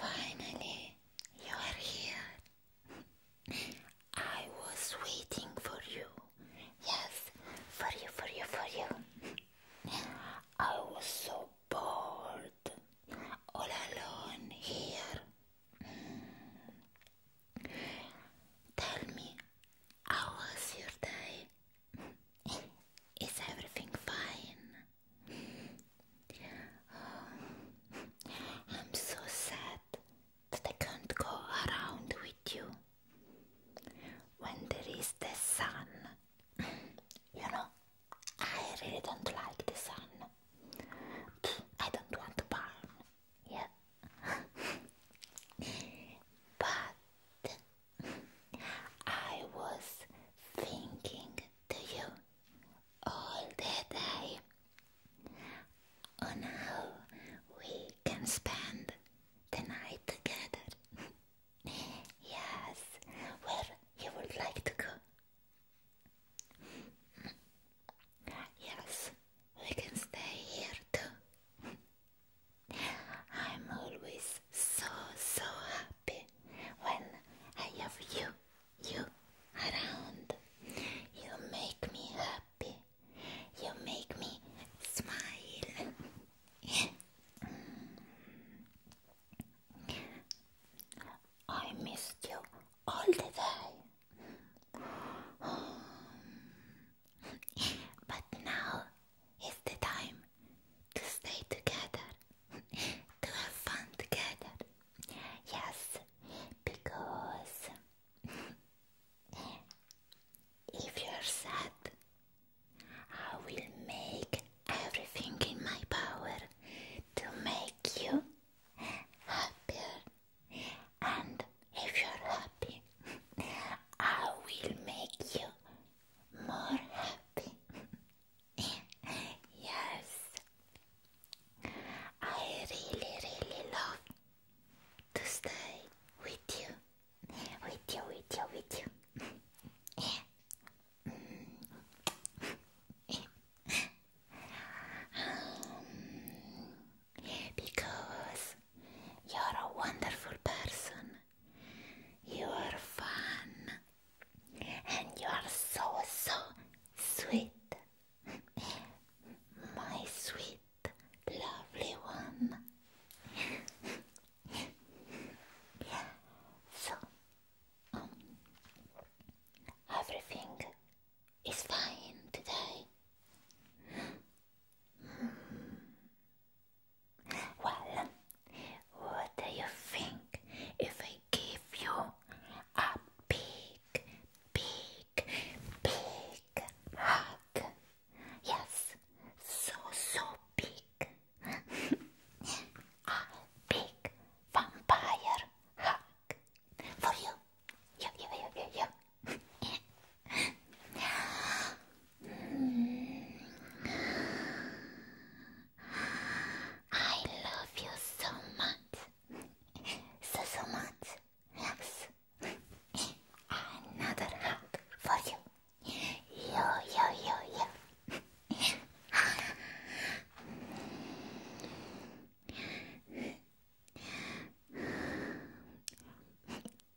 Finally, you are here. I was waiting for you. Yes, for you, for you, for you. I was so bored, all alone here. Tell me, how was your day? Is everything fine? I'm so sad that I can't go around with you. When there is the sun, you know, I really don't like the sun. I don't want to burn. Yeah. but I was thinking to you all the day on how we can spend the night together. yes, where you would like to go. Yes, we can stay here too. I'm always so so happy when I have you you around. You make me happy. You make me smile. I missed you all the day. but now it's the time to stay together, to have fun together. Yes, because if you're sad, I will make everything in my power to make you happier. And if you're happy, I will make you more happy. yes, I really, really love to stay with you, with you, with you, with you. Um, because you're a wonderful person you're fun. And you're so, so sweet. My sweet, lovely one. so, um, everything is fine today. Well, what do you think if I give you a big, big, big hug? Yes, so, so big. a big vampire hug for you. You, you, you, you, you. I love you so much. So, so much. Another hug for you. Yo, yo, yo, yo.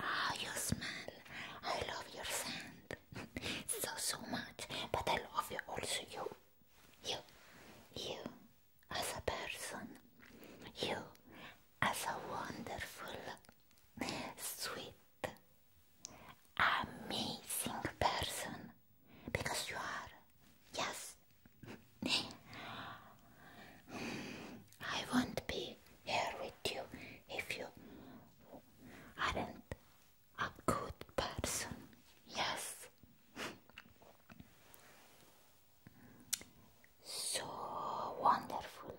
Oh, you smell. I love your scent so, so much. But I love you also, you. You. You as a person. You as a wonderful, sweet, amazing person. Because you are. Yes. I won't be here with you if you are a good person. Yes. so wonderful.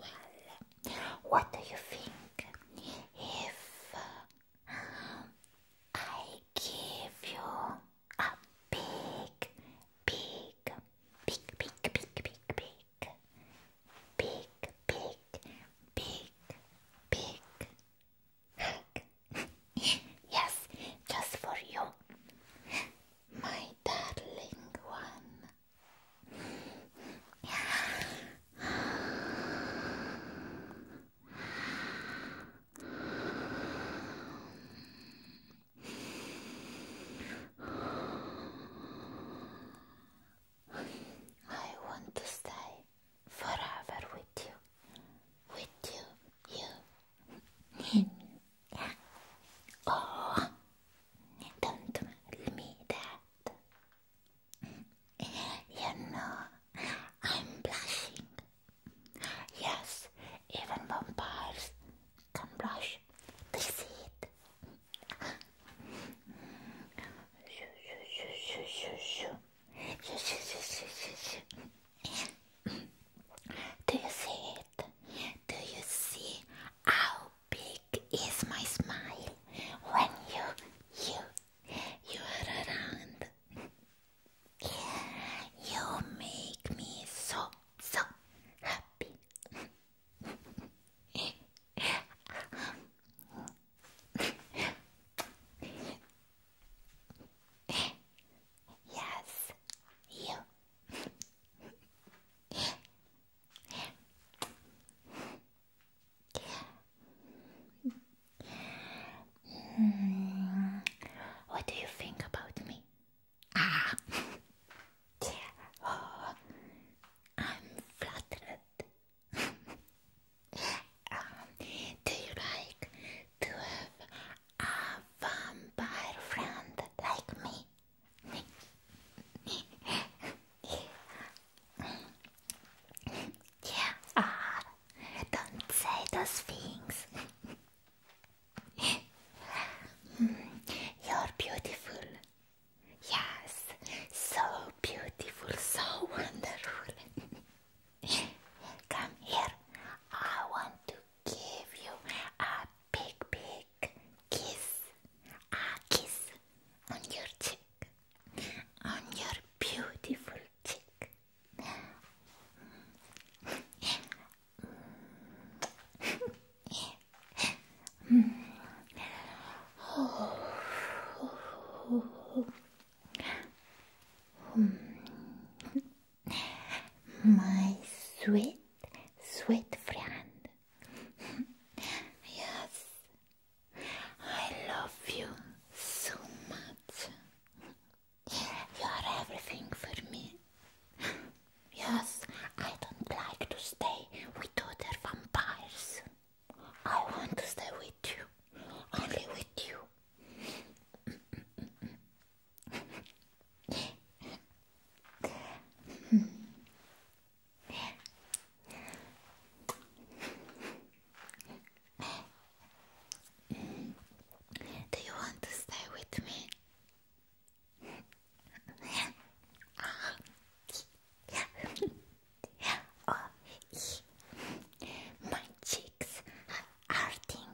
well, what do you think if uh, I give you a big Pig, pig, pig, pig, pig, pig, pig, pig, pig, pig. yes, just for you, my darling one. I want to stay forever with you, with you, you. Oh, don't tell me that. You know, I'm blushing. Yes, even vampires Come brush. Do you see it? shoo, shoo, shoo, shoo, shoo, shoo. Shoo, shoo, shoo, shoo, shoo, shoo. Do you see it? Do you see how big is my smile when you, you, you are around? You make me so, so happy yes, you. Hmm. what do you think about me? Ah. oh, I'm flattered. Um, do you like to have a vampire friend like me? yeah, ah, don't say those things. Mm. You're beautiful. Yes, so beautiful, so wonderful. Come here. I want to give you a big, big kiss. A kiss on your cheek. On your beautiful cheek. My sweet, sweet friend. yes, I love you so much. You are everything for me. Yes, I don't like to stay with other vampires. I want to stay with you, only with you. Do you want to stay with me? my cheeks are hurting.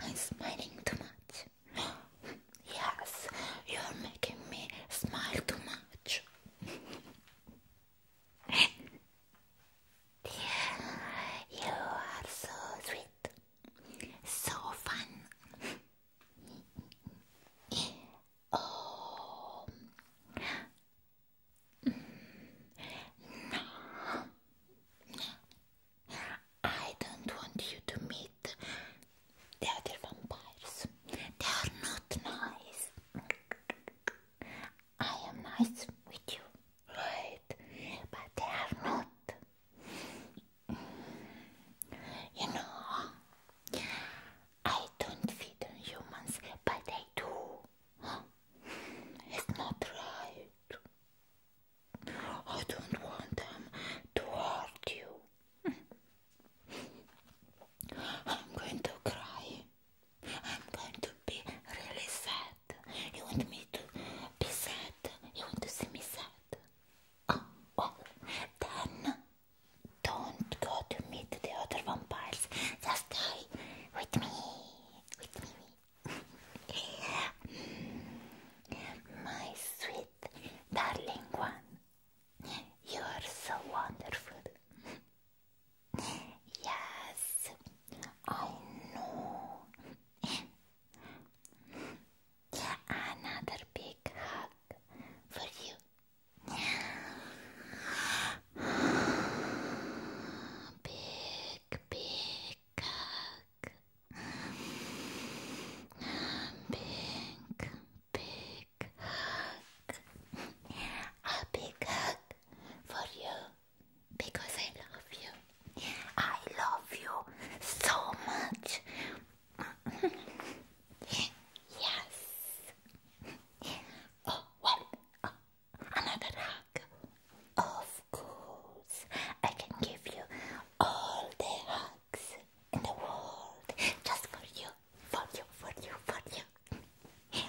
I'm smiling too much. Yes, you're making me smile too much. You are so sweet. So fun. oh. no. I don't want you to meet the other vampires. They are not nice. I am nice with you, right? But they are not. You know, I don't feed on humans, but I do. It's not right. I don't want them to hurt you. I'm going to cry. I'm going to be really sad. You want me to be sad? You want to see me sad? Oh, well, oh. then don't go to meet the other vampires. Just stay with me. With me. My sweet, darling one. You are so wonderful. Yes, I know. Another big hug for you. Big, big hug. Big, big hug. A big hug for you because I love you. I love you so much. yes. Oh, uh, another hug. Of course, I can give you all the hugs in the world just for you, for you, for you, for you.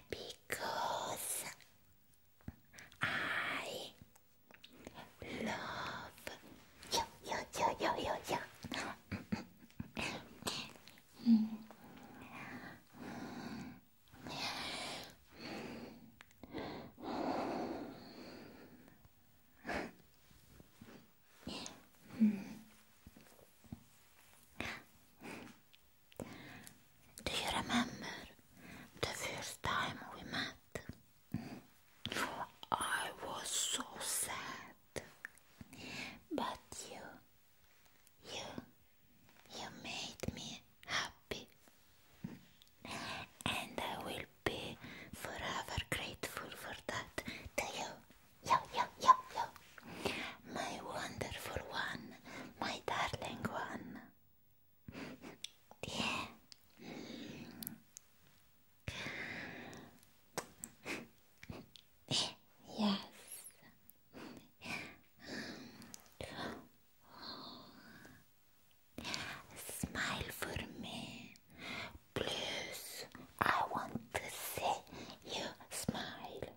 Because I love you, you, you, you, you, you. mm. Do you remember the first time we met? I was so sad. But you, you, you made me happy. And I will be forever grateful for that to you. Yo, yo, yo, yo. My wonderful one, my darling one diye. yes. Smile for me. Please, I want to see you smile.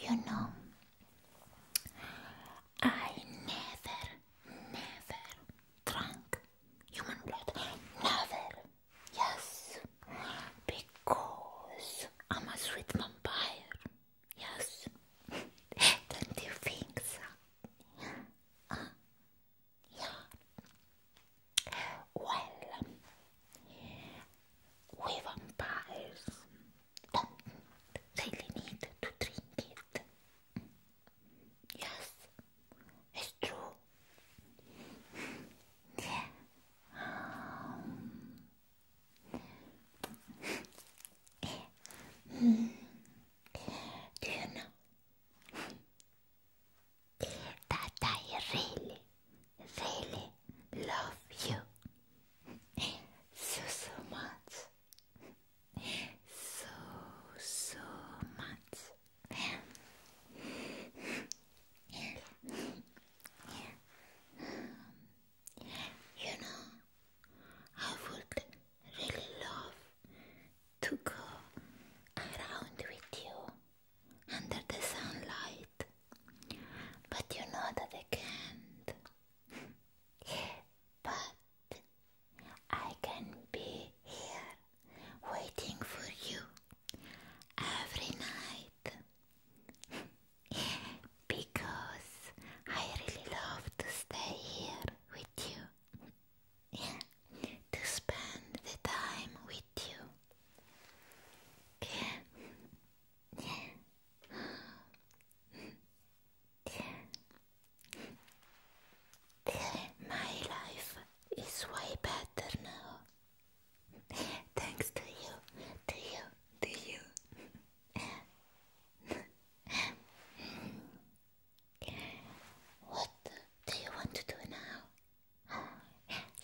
you know, I never, never drank human blood. Never. Yes. Because I'm a sweet vampire. Yes. Don't you think so? Uh, yeah. Well, we vampires don't really need to drink it. Yes, it's true. Yeah. Um. Hmm. Do you know? that I really, really love you so, so much. So, so much. You know, I would really love to go around with you under the sunlight. But you know that I can't. but I can be here waiting for you every night. because I really love to stay here with you to spend the time with you. My life is way better now. Thanks to you, to you, to you. What do you want to do now?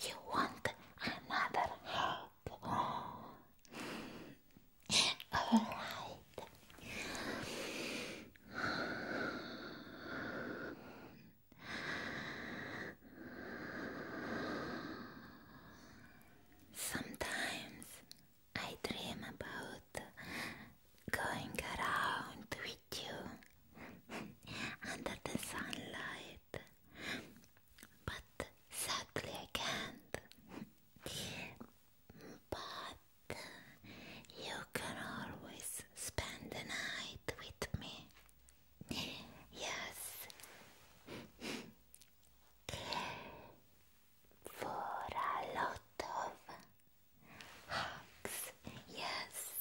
You want another hug? Alright. Sometimes I dream about going around with you under the sunlight, but sadly I can't. But you can always spend the night with me. Yes. For a lot of Hugs, yes.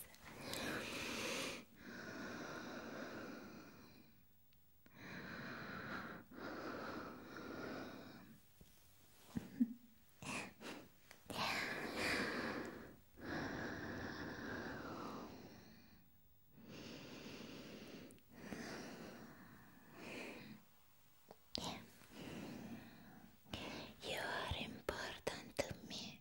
You are important to me.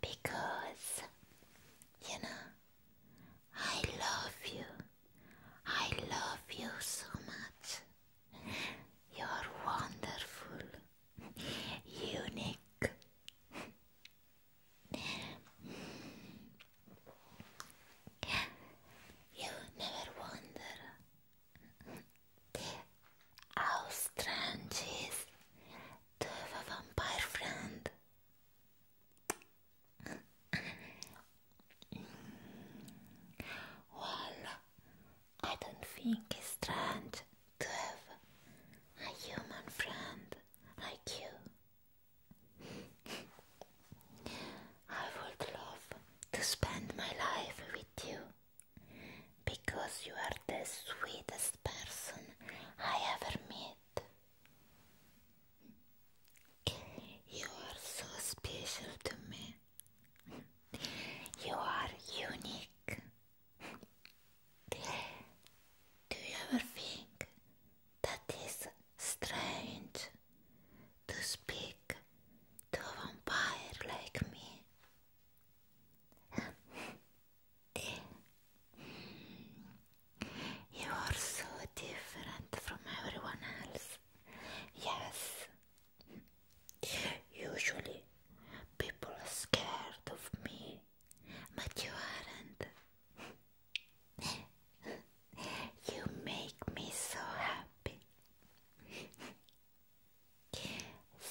because you know I love you. I love you so much. You're wonderful, unique. You never wonder how strange to have a vampire friend. well, mm. I don't think it's strange to have a human friend like you. I would love to spend my life with you because you are the sweetest person I ever met. You are so special to me. You are unique. Do you ever think that is strange to speak to a vampire like me? You are so different from everyone else. Yes. Usually people are scared of me, but you aren't. you make me so happy.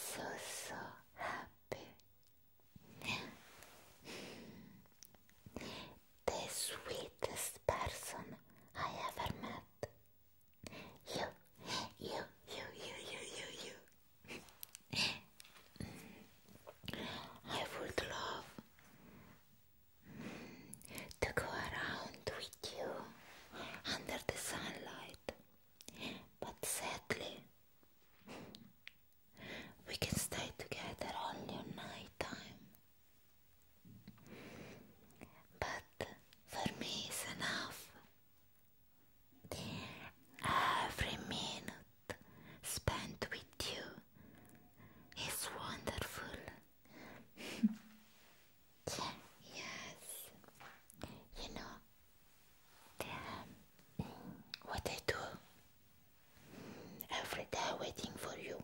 So so happy. the sweetest person I ever met. You, you, you, you, you, you, you. I would love to go around with you under the sunlight but sadly, we can stay together only on night time. But for me, it's enough. Every minute spent with you is wonderful. yes, you know, what I do every day waiting for you.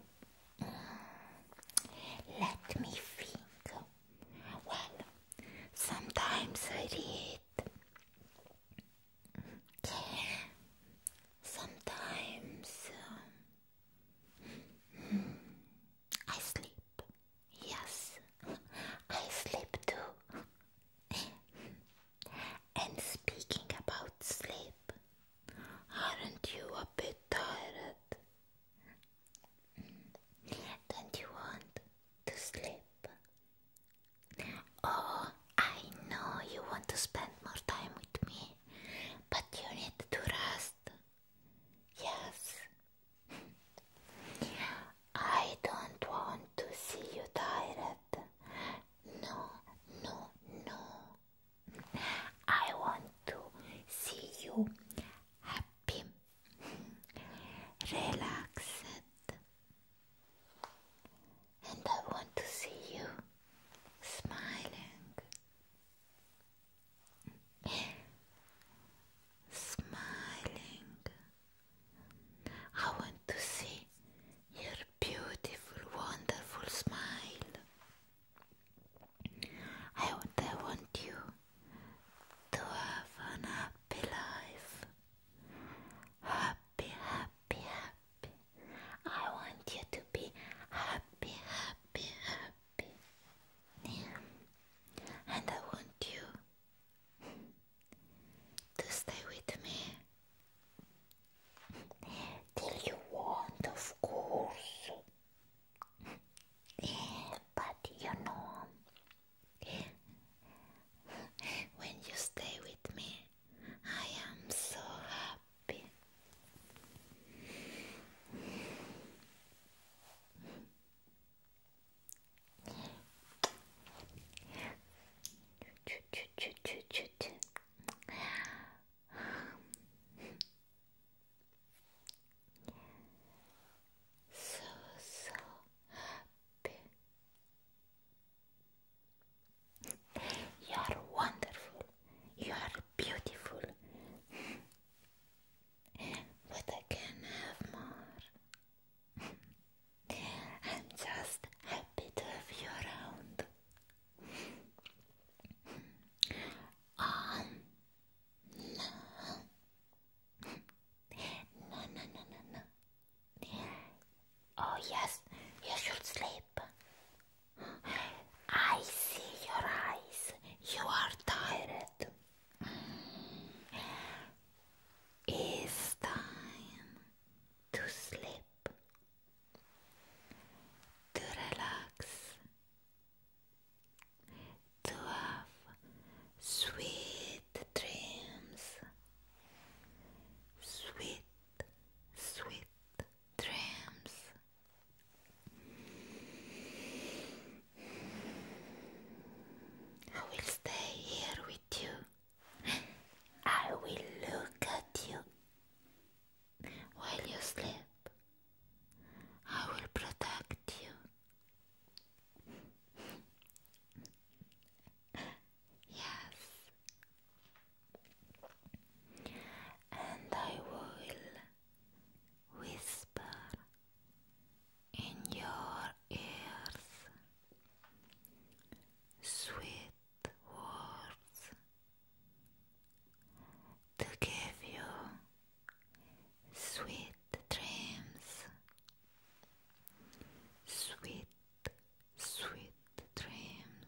Mm. Let me think. Well, sometimes I read. Sometimes um, hmm, I sleep. Yes, I sleep too. and speaking about sleep, aren't you a bit tired? Mm. Don't you want to sleep? Oh, I know you want to spend more time with me, but you need to rest. Yes, I don't want to see you tired. No, no, no. I want to see you happy, relaxed, and I want to see you smiling. Smiling, I want to see your beautiful, wonderful smile. I want, I want you to have an happy life. Happy, happy, happy. I want you to be happy, happy, happy. And I want you to stay with me till you want, of course. But you know, when you stay with me, I am so happy so so happy. You are wonderful. You are beautiful. but I can have more. I'm just happy to have you around. um, no. no, no, no, no, Oh, yes, you should sleep. I see your eyes. You are tired. It's time to sleep, to relax, to have sweet dreams, sweet, sweet dreams. I will stay here with you. I will look at you while you sleep. I will protect you. Yes. And I will whisper in your ears, sweet words to give you sweet dreams, sweet, sweet dreams.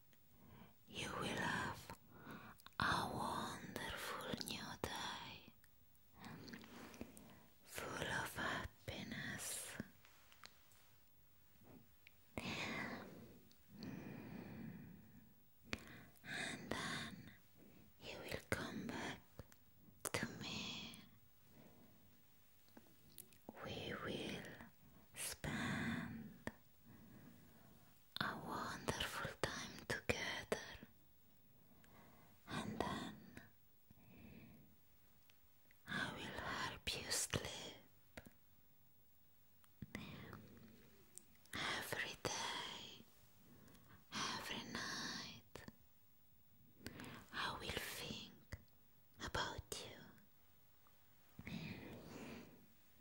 You will have a wonderful new day, full of happiness. And then you will come back to me. We will spend a wonderful time together, and then I will help you sleep every day, every night. I will think about you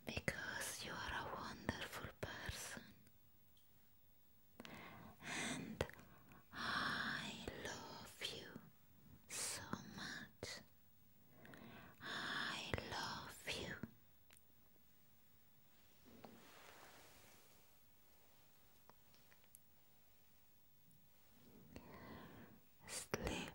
because you are a wonderful person and I love you so much. I love you. Sleep